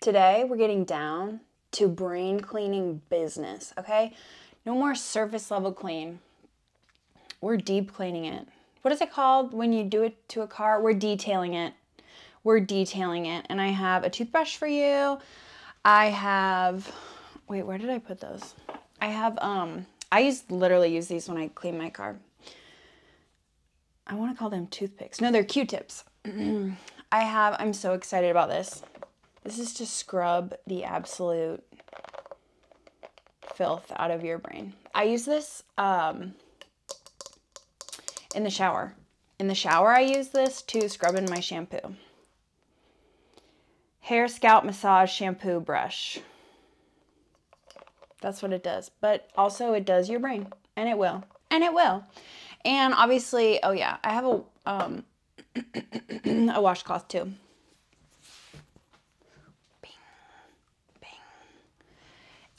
Today, we're getting down to brain cleaning business, okay? No more surface level clean. We're deep cleaning it. What is it called when you do it to a car? We're detailing it. We're detailing it. And I have a toothbrush for you. I have, wait, where did I put those? I have, um, I use, literally use these when I clean my car. I want to call them toothpicks. No, they're Q-tips. I have, I'm so excited about this. This is to scrub the absolute filth out of your brain. I use this um, in the shower. In the shower, I use this to scrub in my shampoo. Hair Scalp Massage Shampoo Brush. That's what it does. But also, it does your brain and it will, and it will. And obviously, oh yeah, I have a, um, a washcloth too. Bing, bing.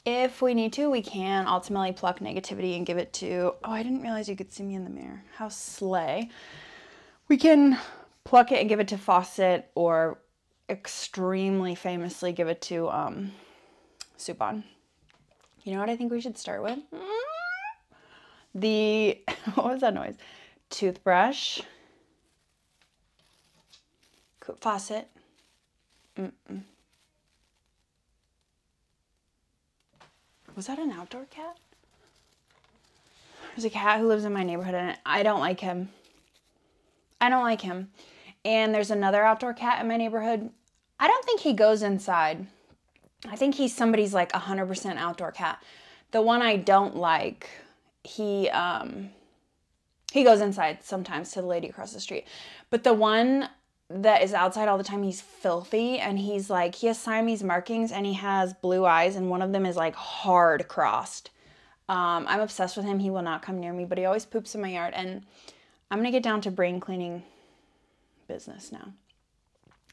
If we need to, we can ultimately pluck negativity and give it to, oh, I didn't realize you could see me in the mirror. How slay. We can pluck it and give it to Fawcett or extremely famously give it to um, Supon. You know what I think we should start with? The, what was that noise? Toothbrush. Faucet. Was that an outdoor cat? There's a cat who lives in my neighborhood and I don't like him. I don't like him. And there's another outdoor cat in my neighborhood I don't think he goes inside. I think he's somebody's like a 100% outdoor cat. The one I don't like, he um he goes inside sometimes to the lady across the street. But the one that is outside all the time, he's filthy and he's like he has Siamese markings and he has blue eyes and one of them is like hard crossed. Um, I'm obsessed with him. He will not come near me, but he always poops in my yard and I'm going to get down to brain cleaning business now.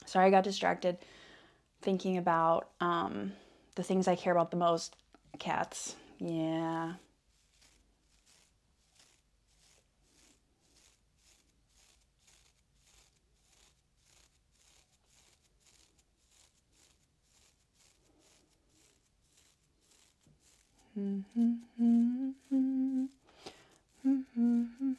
Sorry, I got distracted thinking about um, the things I care about the most cats. Yeah. Hmm. Hmm. Hmm. Hmm. Hmm. Hmm. Hmm.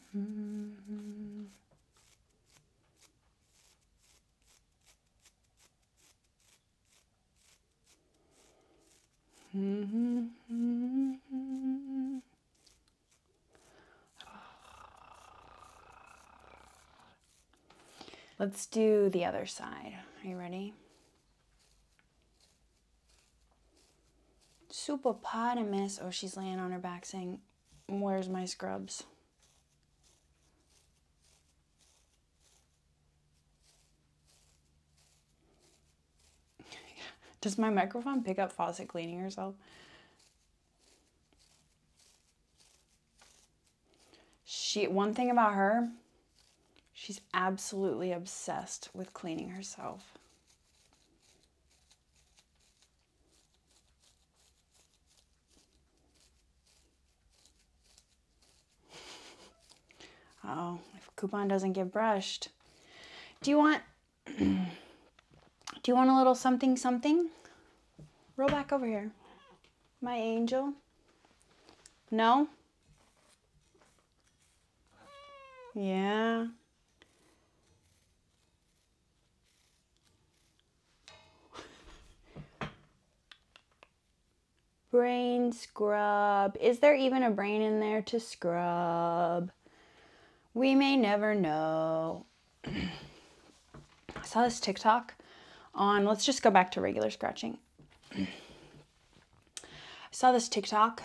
Hmm. Hmm. Hmm. Let's do the other side. Are you ready? Supopotamus. Oh, she's laying on her back saying, Where's my scrubs? Does my microphone pick up faucet cleaning herself? She one thing about her, She's absolutely obsessed with cleaning herself. oh, if coupon doesn't get brushed. Do you want do you want a little something something? Roll back over here. My angel. No? Yeah. Brain scrub. Is there even a brain in there to scrub? We may never know. I saw this TikTok on, let's just go back to regular scratching. I saw this TikTok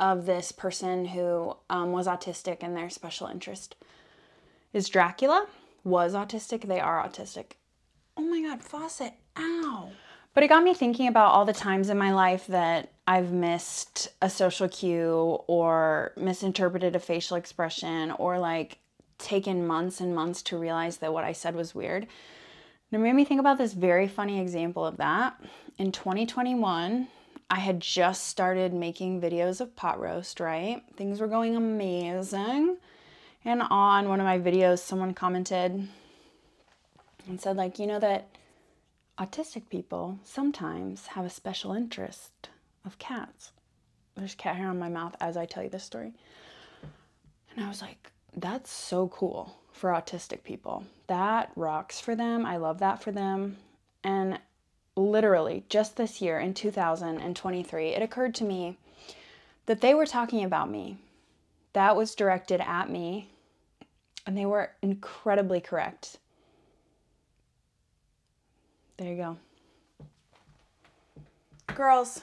of this person who um, was autistic and their special interest is Dracula. Was autistic, they are autistic. Oh my God, faucet, ow. But it got me thinking about all the times in my life that I've missed a social cue or misinterpreted a facial expression or like taken months and months to realize that what I said was weird. And it made me think about this very funny example of that. In 2021, I had just started making videos of pot roast, right? Things were going amazing. And on one of my videos, someone commented and said, like, you know that autistic people sometimes have a special interest of cats. There's cat hair on my mouth as I tell you this story. And I was like, that's so cool for autistic people. That rocks for them. I love that for them. And literally, just this year in 2023, it occurred to me that they were talking about me. That was directed at me, and they were incredibly correct. There you go. Girls,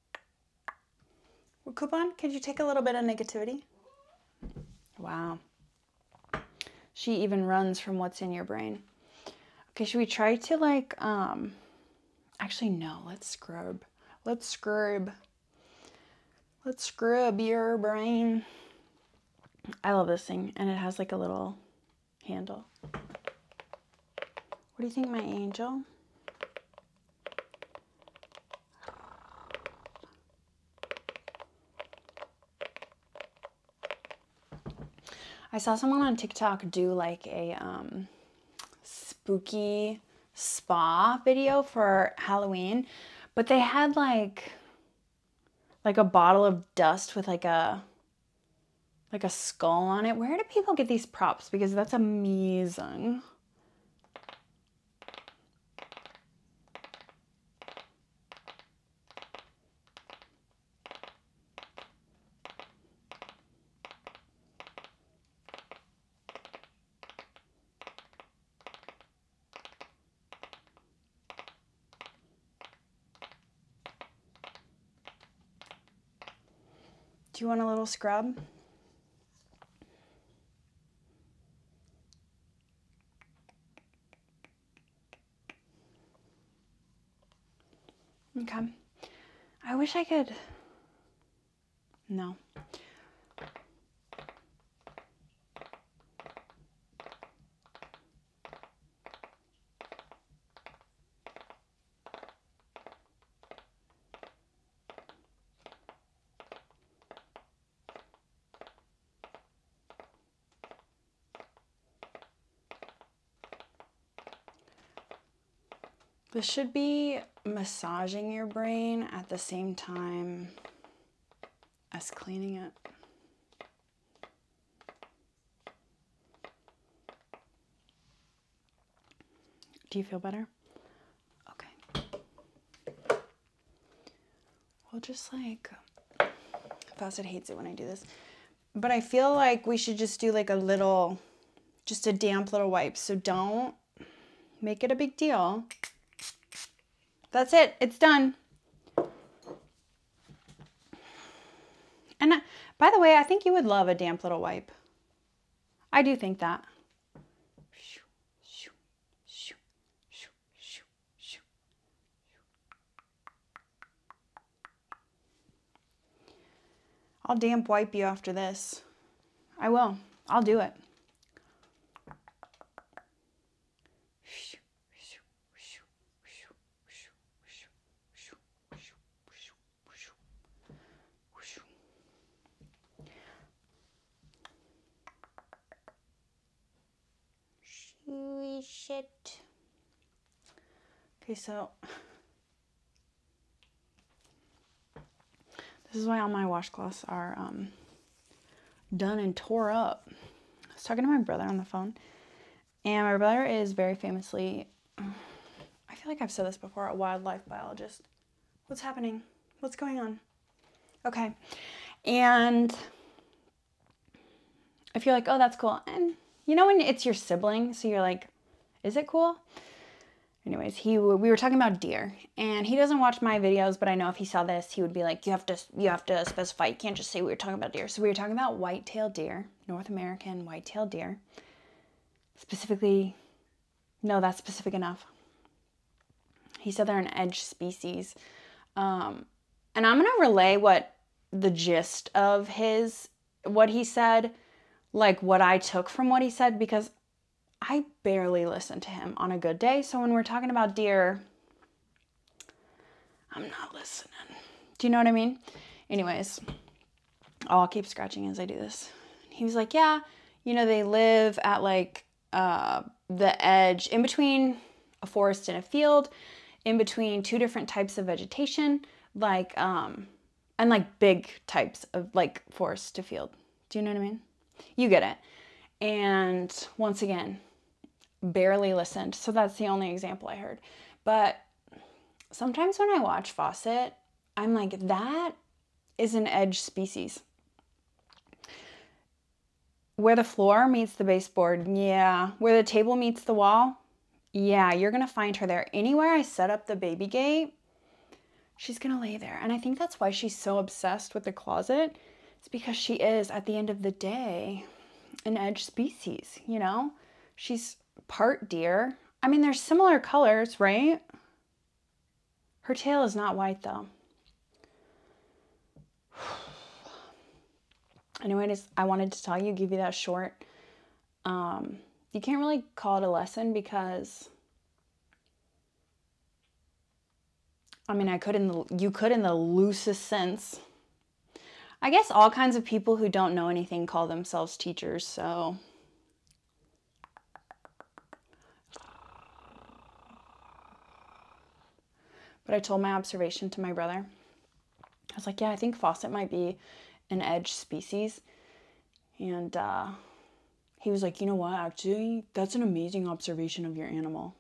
Well, coupon, could you take a little bit of negativity? Wow. She even runs from what's in your brain. Okay, should we try to like, um, actually no, let's scrub. Let's scrub. Let's scrub your brain. I love this thing. And it has like a little handle. What do you think, my angel? I saw someone on TikTok do like a um, spooky spa video for Halloween, but they had like like a bottle of dust with like a like a skull on it. Where do people get these props? Because that's amazing. Do you want a little scrub? Okay. I wish I could. No. This should be massaging your brain at the same time as cleaning it. Do you feel better? Okay. Well, just like Fawcett hates it when I do this. But I feel like we should just do like a little, just a damp little wipe. So don't make it a big deal. That's it. It's done. And uh, by the way, I think you would love a damp little wipe. I do think that. I'll damp wipe you after this. I will. I'll do it. Swish Okay, so this is why all my washcloths are um, done and tore up. I was talking to my brother on the phone, and my brother is very famously, I feel like I've said this before, a wildlife biologist. What's happening? What's going on? Okay. And if you're like, oh, that's cool. And you know when it's your sibling, so you're like, is it cool? Anyways, he we were talking about deer, and he doesn't watch my videos, but I know if he saw this, he would be like, "You have to, you have to specify. You can't just say we were talking about deer." So we were talking about white-tailed deer, North American white-tailed deer, specifically no, that's specific enough. He said they're an edge species. Um, and I'm going to relay what the gist of his, what he said, like what I took from what he said, because I barely listen to him on a good day. So when we're talking about deer, I'm not listening. Do you know what I mean? Anyways, Oh, I'll keep scratching as I do this. He was like, yeah, you know, they live at like uh, the edge in between a forest and a field, in between two different types of vegetation, like, um, and like big types of like forest to field. Do you know what I mean? You get it. And once again, barely listened. So that's the only example I heard. But sometimes when I watch Fawcett, I'm like, that is an edge species. Where the floor meets the baseboard, yeah. Where the table meets the wall, yeah, you're gonna find her there. Anywhere I set up the baby gate, she's gonna lay there. And I think that's why she's so obsessed with the closet. It's because she is, at the end of the day, an edge species, you know? She's part deer. I mean, they're similar colors, right? Her tail is not white though. Anyways, I wanted to tell you, give you that short. Um, you can't really call it a lesson because I mean, I could in the you could in the loosest sense. I guess all kinds of people who don't know anything call themselves teachers, so but I told my observation to my brother. I was like, yeah, I think faucet might be an edge species. And uh, he was like, you know what, actually, that's an amazing observation of your animal.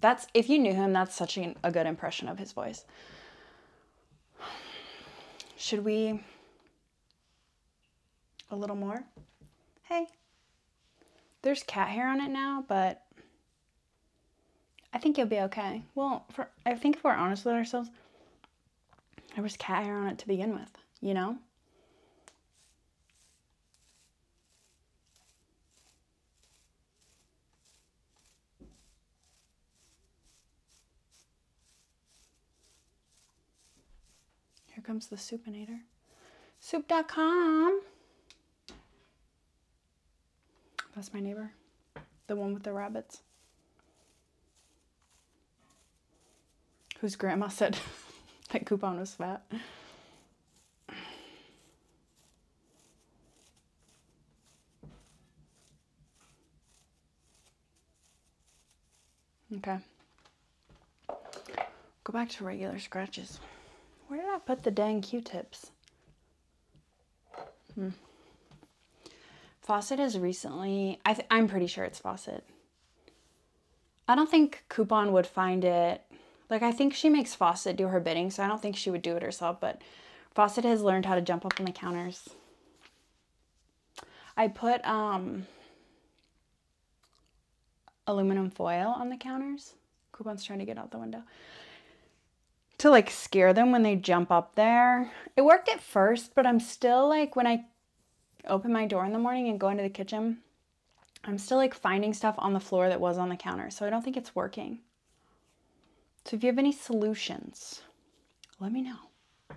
That's, if you knew him, that's such a good impression of his voice. Should we a little more. Hey, there's cat hair on it now, but I think you'll be okay. Well, for, I think if we're honest with ourselves, there was cat hair on it to begin with, you know? Here comes the Soup soupinator. Soup.com. That's my neighbor, the one with the rabbits. Whose grandma said that coupon was fat. Okay. Go back to regular scratches. Where did I put the dang Q-tips? Hmm. Fawcett has recently, I I'm pretty sure it's Fawcett. I don't think Coupon would find it. Like, I think she makes Fawcett do her bidding, so I don't think she would do it herself, but Fawcett has learned how to jump up on the counters. I put um, aluminum foil on the counters. Coupon's trying to get out the window. To like scare them when they jump up there. It worked at first, but I'm still like when I open my door in the morning and go into the kitchen, I'm still like finding stuff on the floor that was on the counter. So I don't think it's working. So if you have any solutions, let me know.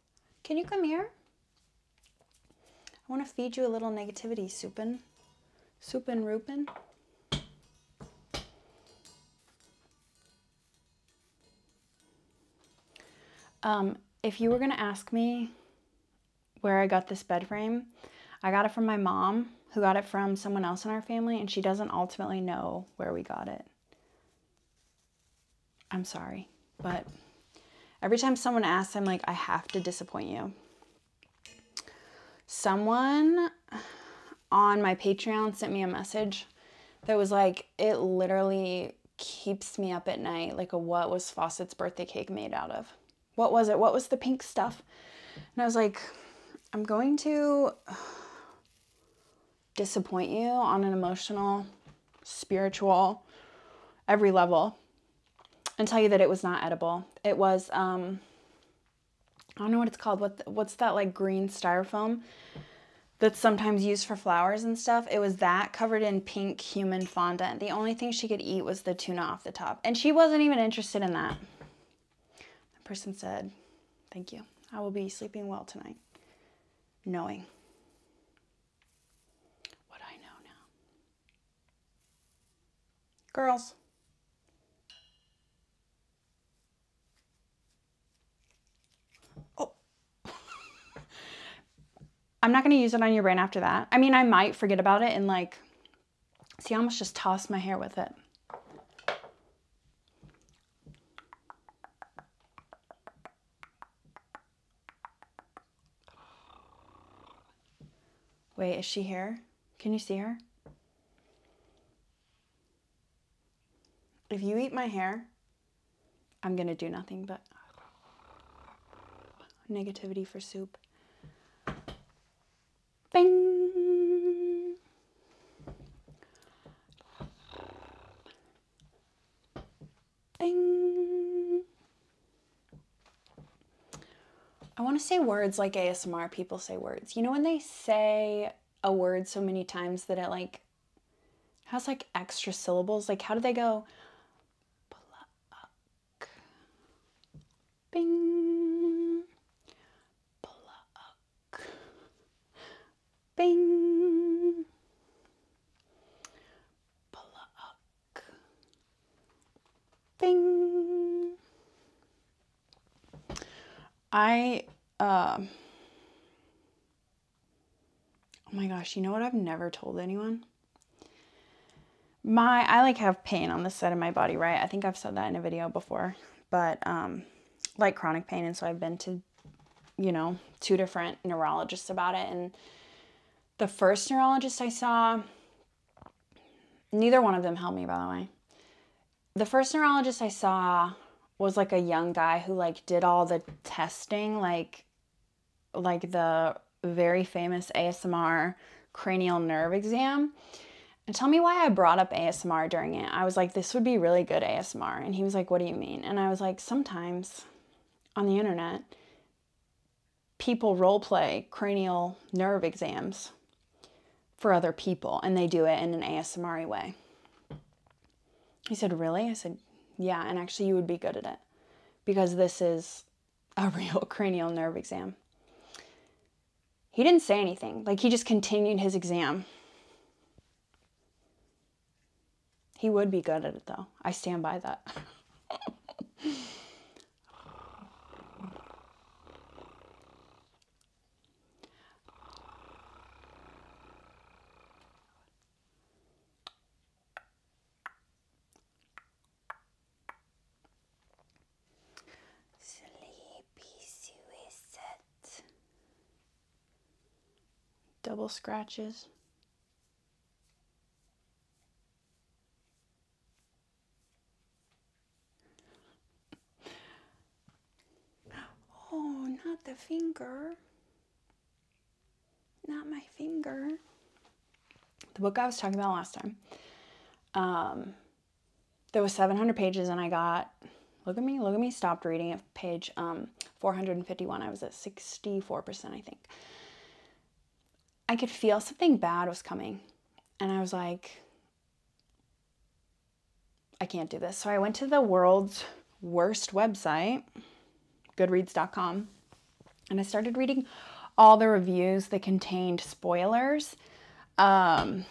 Can you come here? I want to feed you a little negativity, Supin. Supin Rupin. Um, if you were going to ask me where I got this bed frame, I got it from my mom, who got it from someone else in our family, and she doesn't ultimately know where we got it. I'm sorry, but every time someone asks, I'm like, I have to disappoint you. Someone on my Patreon sent me a message that was like, it literally keeps me up at night. Like, a what was Fawcett's birthday cake made out of? What was it? What was the pink stuff? And I was like, I'm going to disappoint you on an emotional, spiritual, every level and tell you that it was not edible. It was um I don't know what it's called. What what's that like green styrofoam that's sometimes used for flowers and stuff? It was that covered in pink human fondant. The only thing she could eat was the tuna off the top, and she wasn't even interested in that. The person said, "Thank you. I will be sleeping well tonight." Knowing what I know now. Girls. Oh. I'm not going to use it on your brain after that. I mean, I might forget about it and like, see, I almost just tossed my hair with it. Wait, is she here? Can you see her? If you eat my hair, I'm gonna do nothing but negativity for soup. Bing! Bing. I want to say words like ASMR people say words. You know when they say a word so many times that it like has like extra syllables? Like how do they go? Bing. Bing. Pluck. Bing. I, uh, oh my gosh, you know what I've never told anyone? My, I like have pain on this side of my body, right? I think I've said that in a video before, but, um, like chronic pain. And so I've been to you know, two different neurologists about it. And the first neurologist I saw, neither one of them helped me, by the way. The first neurologist I saw was like a young guy who like did all the testing, like like the very famous ASMR cranial nerve exam. And tell me why I brought up ASMR during it. I was like, this would be really good ASMR. And he was like, what do you mean? And I was like, sometimes on the internet, people role play cranial nerve exams for other people and they do it in an ASMR way. He said, Really? I said, Yeah, and actually, you would be good at it because this is a real cranial nerve exam. He didn't say anything, like, he just continued his exam. He would be good at it though. I stand by that. Sleepy suicide. Double scratches. Oh, not the finger. Not my finger. The book I was talking about last time. Um, there was 700 pages and I got, look at me, look at me, stopped reading at page um, 451. I was at 64 I think. I could feel something bad was coming. And I was like, I can't do this. So I went to the world's worst website, goodreads.com, and I started reading all the reviews that contained spoilers. Um,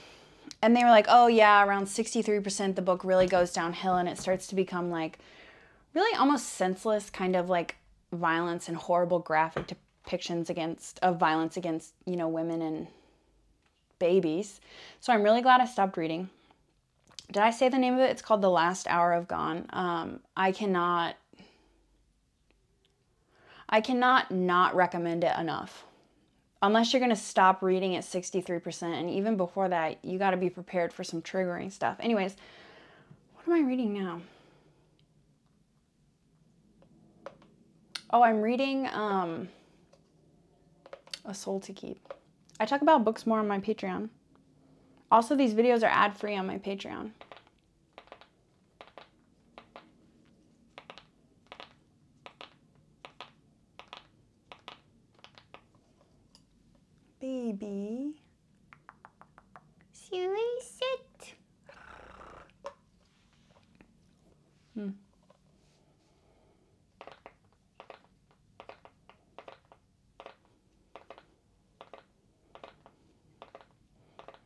and they were like, oh, yeah, around 63%, the book really goes downhill and it starts to become like really almost senseless kind of like violence and horrible graphic depictions against of violence against, you know, women and babies. So I'm really glad I stopped reading. Did I say the name of it? It's called The Last Hour of Gone. Um, I cannot I cannot not recommend it enough. Unless you're going to stop reading at 63% and even before that, you got to be prepared for some triggering stuff. Anyways, what am I reading now? Oh, I'm reading um, A Soul to Keep. I talk about books more on my Patreon. Also, these videos are ad-free on my Patreon baby. Silly sit. Hmm.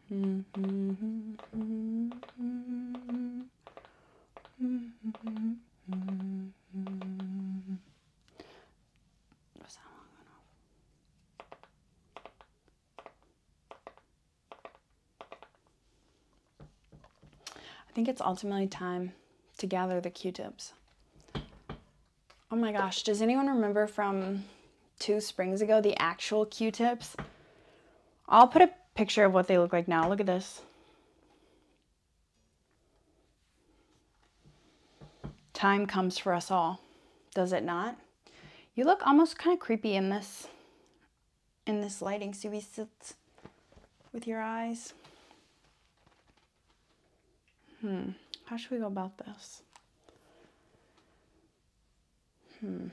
I think it's ultimately time to gather the Q-tips. Oh my gosh, does anyone remember from two springs ago the actual Q-tips? I'll put a picture of what they look like now. Look at this. Time comes for us all, does it not? You look almost kind of creepy in this, in this lighting. See, we sit with your eyes. Hmm, how should we go about this? Hmm.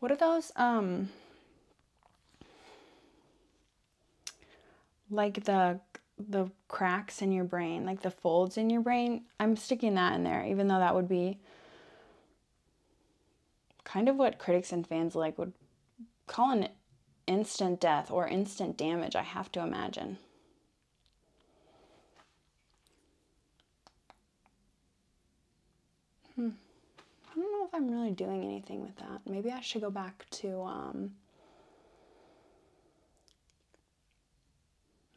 What are those, um, like the, the cracks in your brain, like the folds in your brain? I'm sticking that in there, even though that would be kind of what critics and fans like would Call an instant death or instant damage, I have to imagine. Hmm. I don't know if I'm really doing anything with that. Maybe I should go back to um,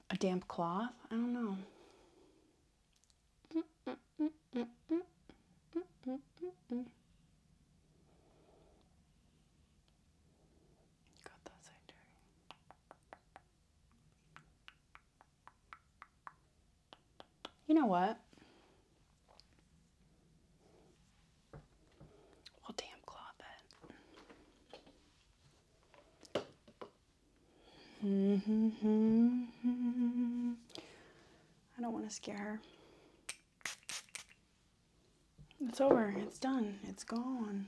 a damp cloth. I don't know. You know what? We'll damp mm-hmm. I don't want to scare her. It's over. It's done. It's gone.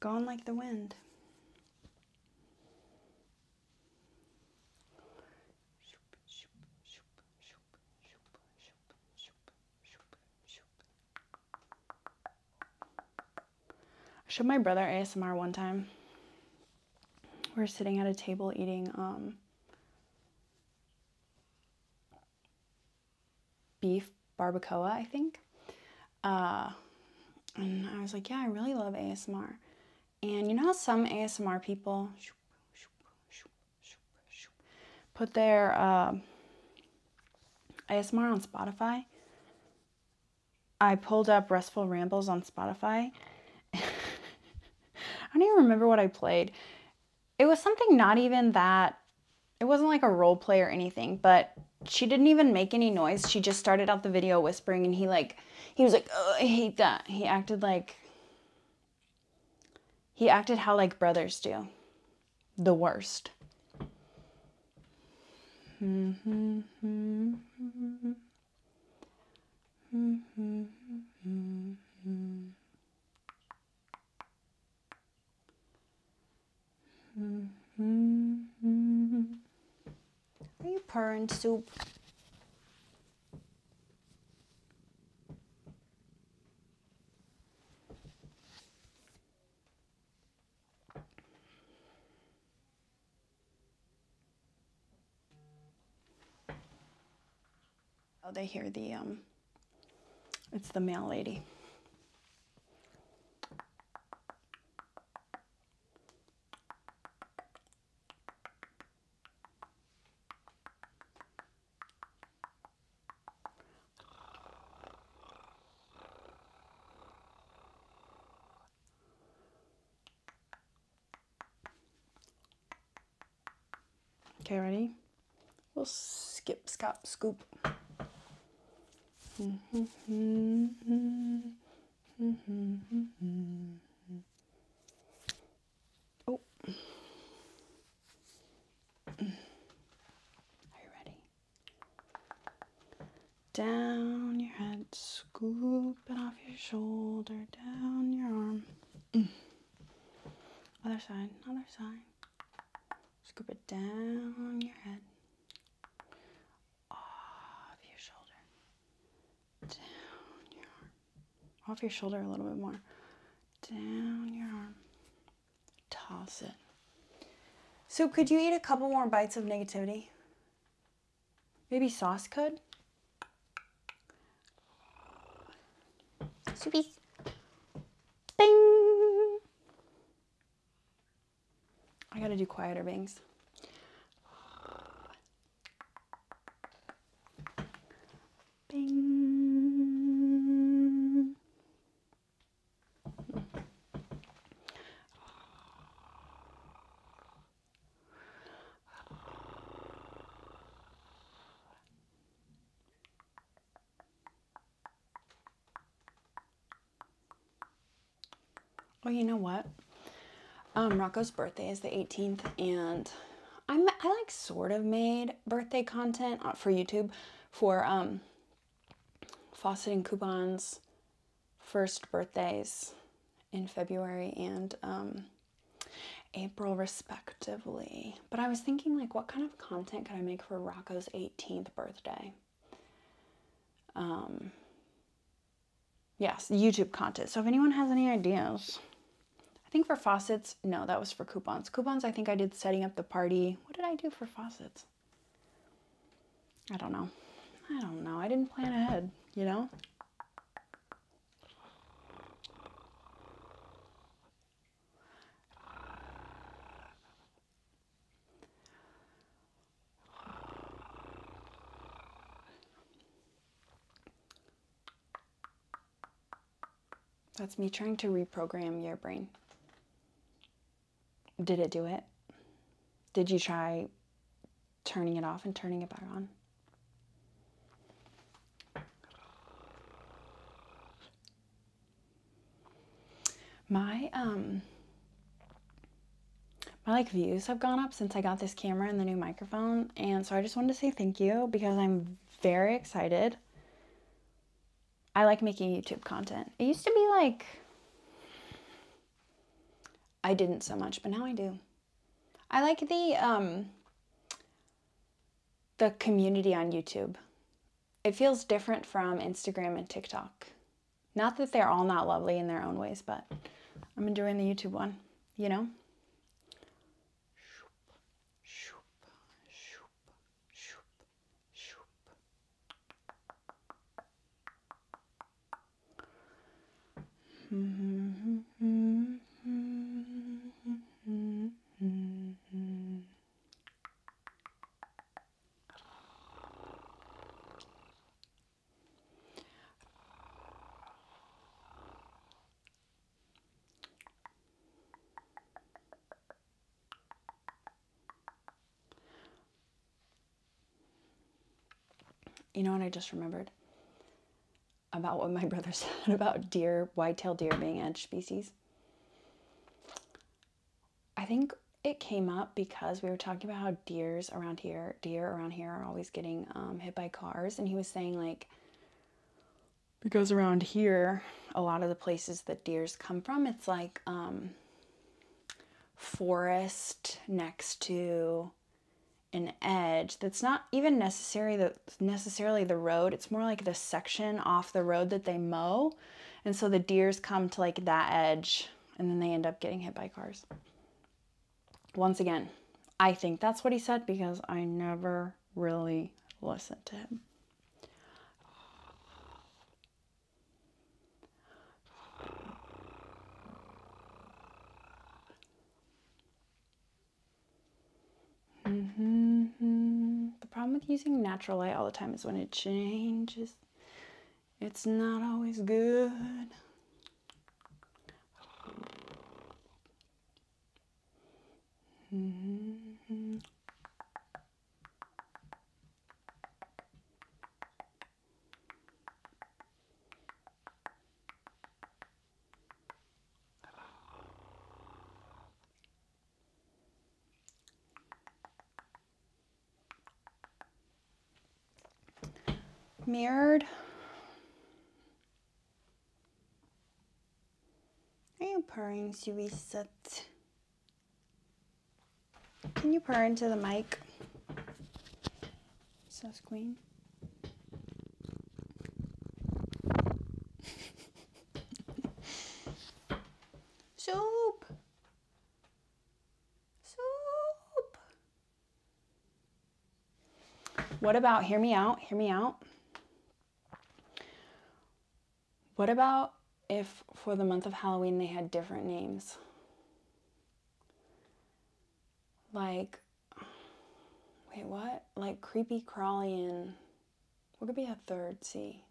Gone like the wind. I showed my brother ASMR one time. We are sitting at a table eating um, beef barbacoa, I think. Uh, and I was like, yeah, I really love ASMR. And you know how some ASMR people put their um, ASMR on Spotify? I pulled up Restful Rambles on Spotify. I don't even remember what I played it was something not even that, it wasn't like a role play or anything, but she didn't even make any noise. She just started out the video whispering and he like, he was like, oh, I hate that. He acted like, he acted how like brothers do. The worst. Mm-hmm. Are you pouring soup? Oh, they hear the, um, it's the mail lady. Okay, ready? We'll skip, scop, scoop. Oh. Are you ready? Down your head, scoop it off your shoulder, down your arm. Other side, other side. Scoop it down your head. Off your shoulder. Down your arm. Off your shoulder a little bit more. Down your arm. Toss it. So could you eat a couple more bites of negativity? Maybe sauce could? Subies. Bing! I gotta do quieter bangs. Bing. Oh, you know what? Um, Rocco's birthday is the 18th, and I'm I like sort of made birthday content uh, for YouTube for um, faucet and coupons, first birthdays, in February and um, April, respectively. But I was thinking, like, what kind of content could I make for Rocco's 18th birthday? Um, yes, YouTube content. So if anyone has any ideas, I think for faucets, no, that was for coupons. Coupons, I think I did setting up the party. What did I do for faucets? I don't know. I don't know. I didn't plan ahead, you know? That's me trying to reprogram your brain. Did it do it? Did you try turning it off and turning it back on? My um, my like views have gone up since I got this camera and the new microphone and so I just wanted to say thank you because I'm very excited. I like making YouTube content. It used to be like I didn't so much, but now I do. I like the um, the community on YouTube. It feels different from Instagram and TikTok. Not that they're all not lovely in their own ways, but I'm enjoying the YouTube one, you know? You know what I just remembered? about what my brother said about deer, white-tailed deer being edge species. I think it came up because we were talking about how deer around here, deer around here are always getting um, hit by cars. And he was saying like, because around here, a lot of the places that deers come from, it's like um, forest next to an edge that's not even necessary the, necessarily the road. It's more like the section off the road that they mow. And so the deers come to like that edge and then they end up getting hit by cars. Once again, I think that's what he said because I never really listened to him. Mm-hmm. The problem with using natural light all the time is when it changes, it's not always good. Mm-hmm. Mirrored. Are you purring, Suisat? Can you purr into the mic? Sus queen. Soap. Soap. What about, hear me out, hear me out. What about if for the month of Halloween they had different names? Like wait, what? Like creepy crawling. What could be a third C?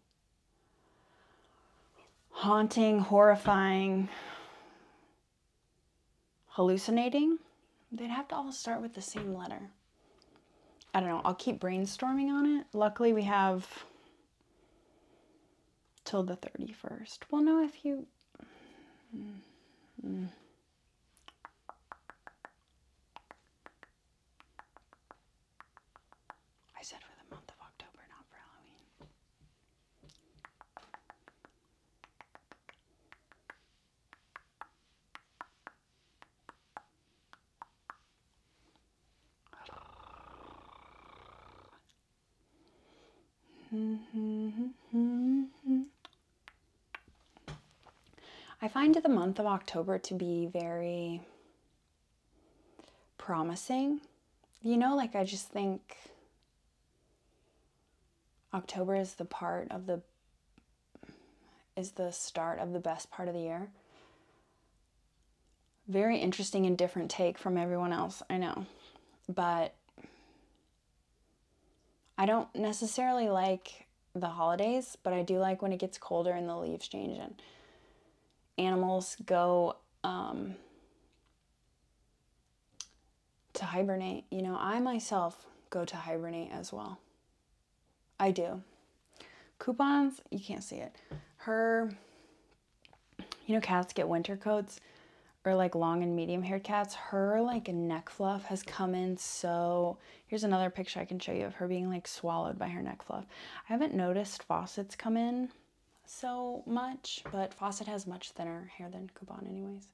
Haunting, horrifying, hallucinating. They'd have to all start with the same letter. I don't know. I'll keep brainstorming on it. Luckily, we have till the 31st. Well, no, if you. Mm, mm. I said for the month of October, not for Halloween. Mm-hmm, mm-hmm, mm-hmm. I find the month of October to be very promising. You know, like I just think October is the part of the is the start of the best part of the year. Very interesting and different take from everyone else, I know. But I don't necessarily like the holidays, but I do like when it gets colder and the leaves change and animals go um, to hibernate. You know, I myself go to hibernate as well. I do. Coupons, you can't see it. Her, you know, cats get winter coats or like long and medium haired cats, her like neck fluff has come in so. Here's another picture I can show you of her being like swallowed by her neck fluff. I haven't noticed Faucet's come in so much, but Fawcett has much thinner hair than Kuban, anyways.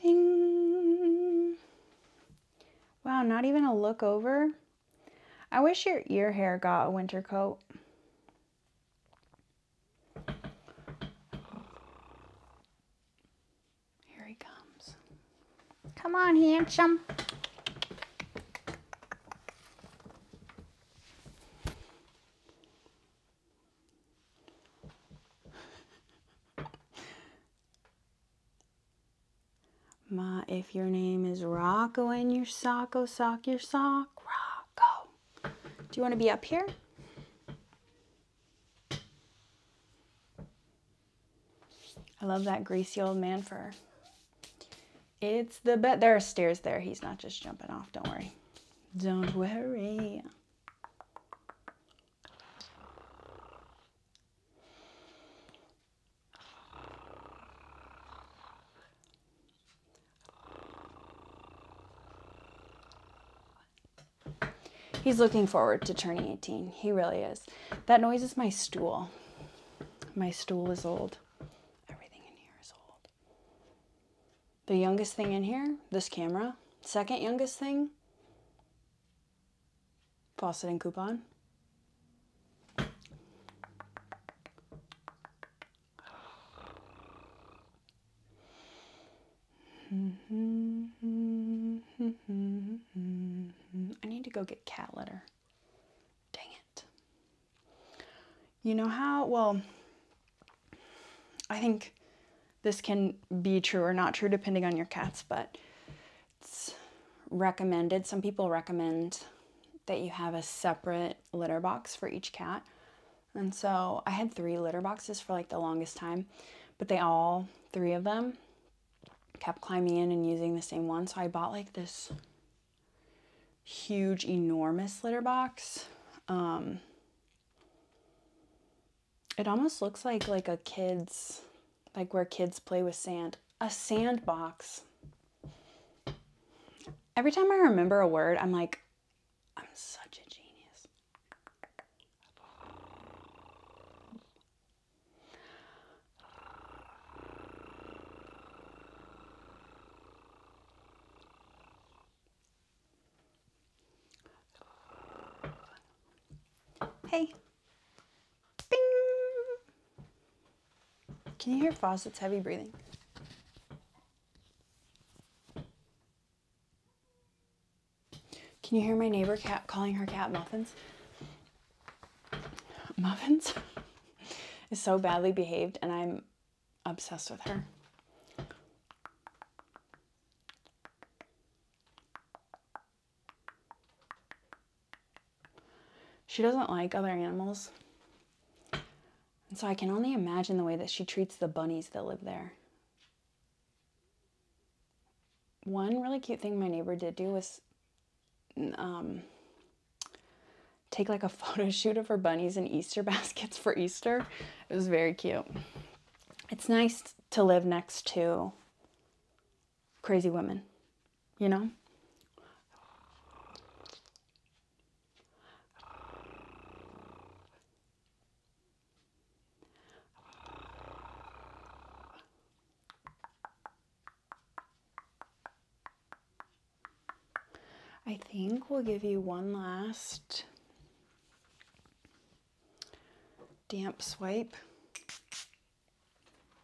Bing! Wow, not even a look over. I wish your ear hair got a winter coat. Here he comes. Come on, handsome. Ma, if your name is Rocco and your Socko, oh, sock your sock. Go. Do you want to be up here? I love that greasy old man fur. It's the best. There are stairs there. He's not just jumping off. Don't worry. Don't worry. He's looking forward to turning 18. He really is. That noise is my stool. My stool is old. Everything in here is old. The youngest thing in here, this camera. Second youngest thing, faucet and coupon. I need to go get cat litter. Dang it. You know how, well, I think this can be true or not true depending on your cats, but it's recommended. Some people recommend that you have a separate litter box for each cat. And so I had three litter boxes for like the longest time, but they all, three of them, kept climbing in and using the same one. So I bought like this huge, enormous litter box. Um, it almost looks like like a kid's, like where kids play with sand, a sandbox Every time I remember a word, I'm like, I'm such a genius. Hey. Bing. Can you hear Fawcett's heavy breathing? Can you hear my neighbor cat calling her cat Muffins? Muffins is so badly behaved and I'm obsessed with her. She doesn't like other animals. And so I can only imagine the way that she treats the bunnies that live there. One really cute thing my neighbor did do was um, take like a photo shoot of her bunnies in Easter baskets for Easter. It was very cute. It's nice to live next to crazy women you know? I think we'll give you one last damp swipe.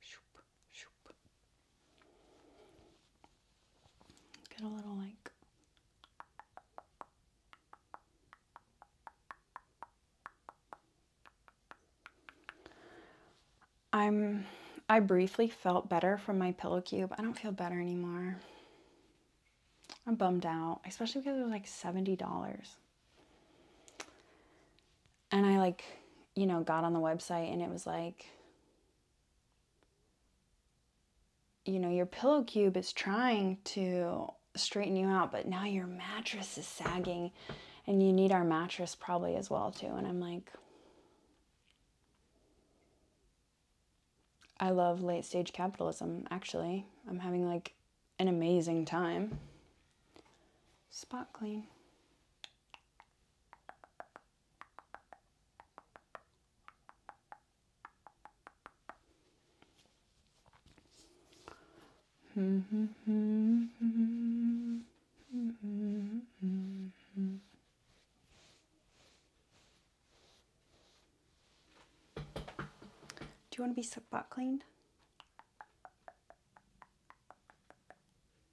Shoop, shoop. Get a little like I'm I briefly felt better from my pillow cube. I don't feel better anymore. I'm bummed out, especially because it was like $70 and I like, you know, got on the website and it was like, you know, your pillow cube is trying to straighten you out, but now your mattress is sagging and you need our mattress probably as well too. And I'm like, I love late stage capitalism, actually. I'm having like an amazing time. Spot clean. Do you want to be spot cleaned?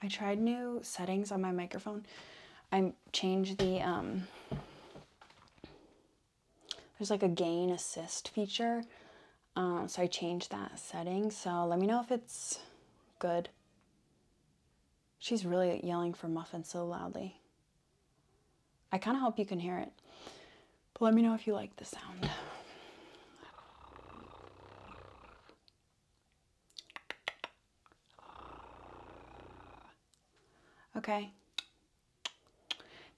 I tried new settings on my microphone. I changed the, um, there's like a gain assist feature. Um, so I changed that setting. So let me know if it's good. She's really yelling for muffin so loudly. I kind of hope you can hear it. But let me know if you like the sound. Okay.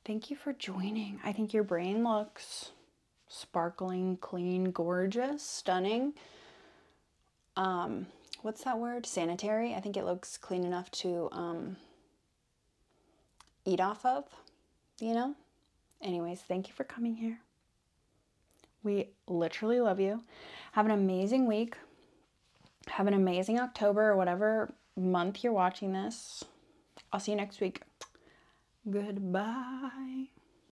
Thank you for joining. I think your brain looks sparkling, clean, gorgeous, stunning. Um, what's that word? Sanitary. I think it looks clean enough to um, eat off of, you know? Anyways, thank you for coming here. We literally love you. Have an amazing week. Have an amazing October or whatever month you're watching this. I'll see you next week. Goodbye.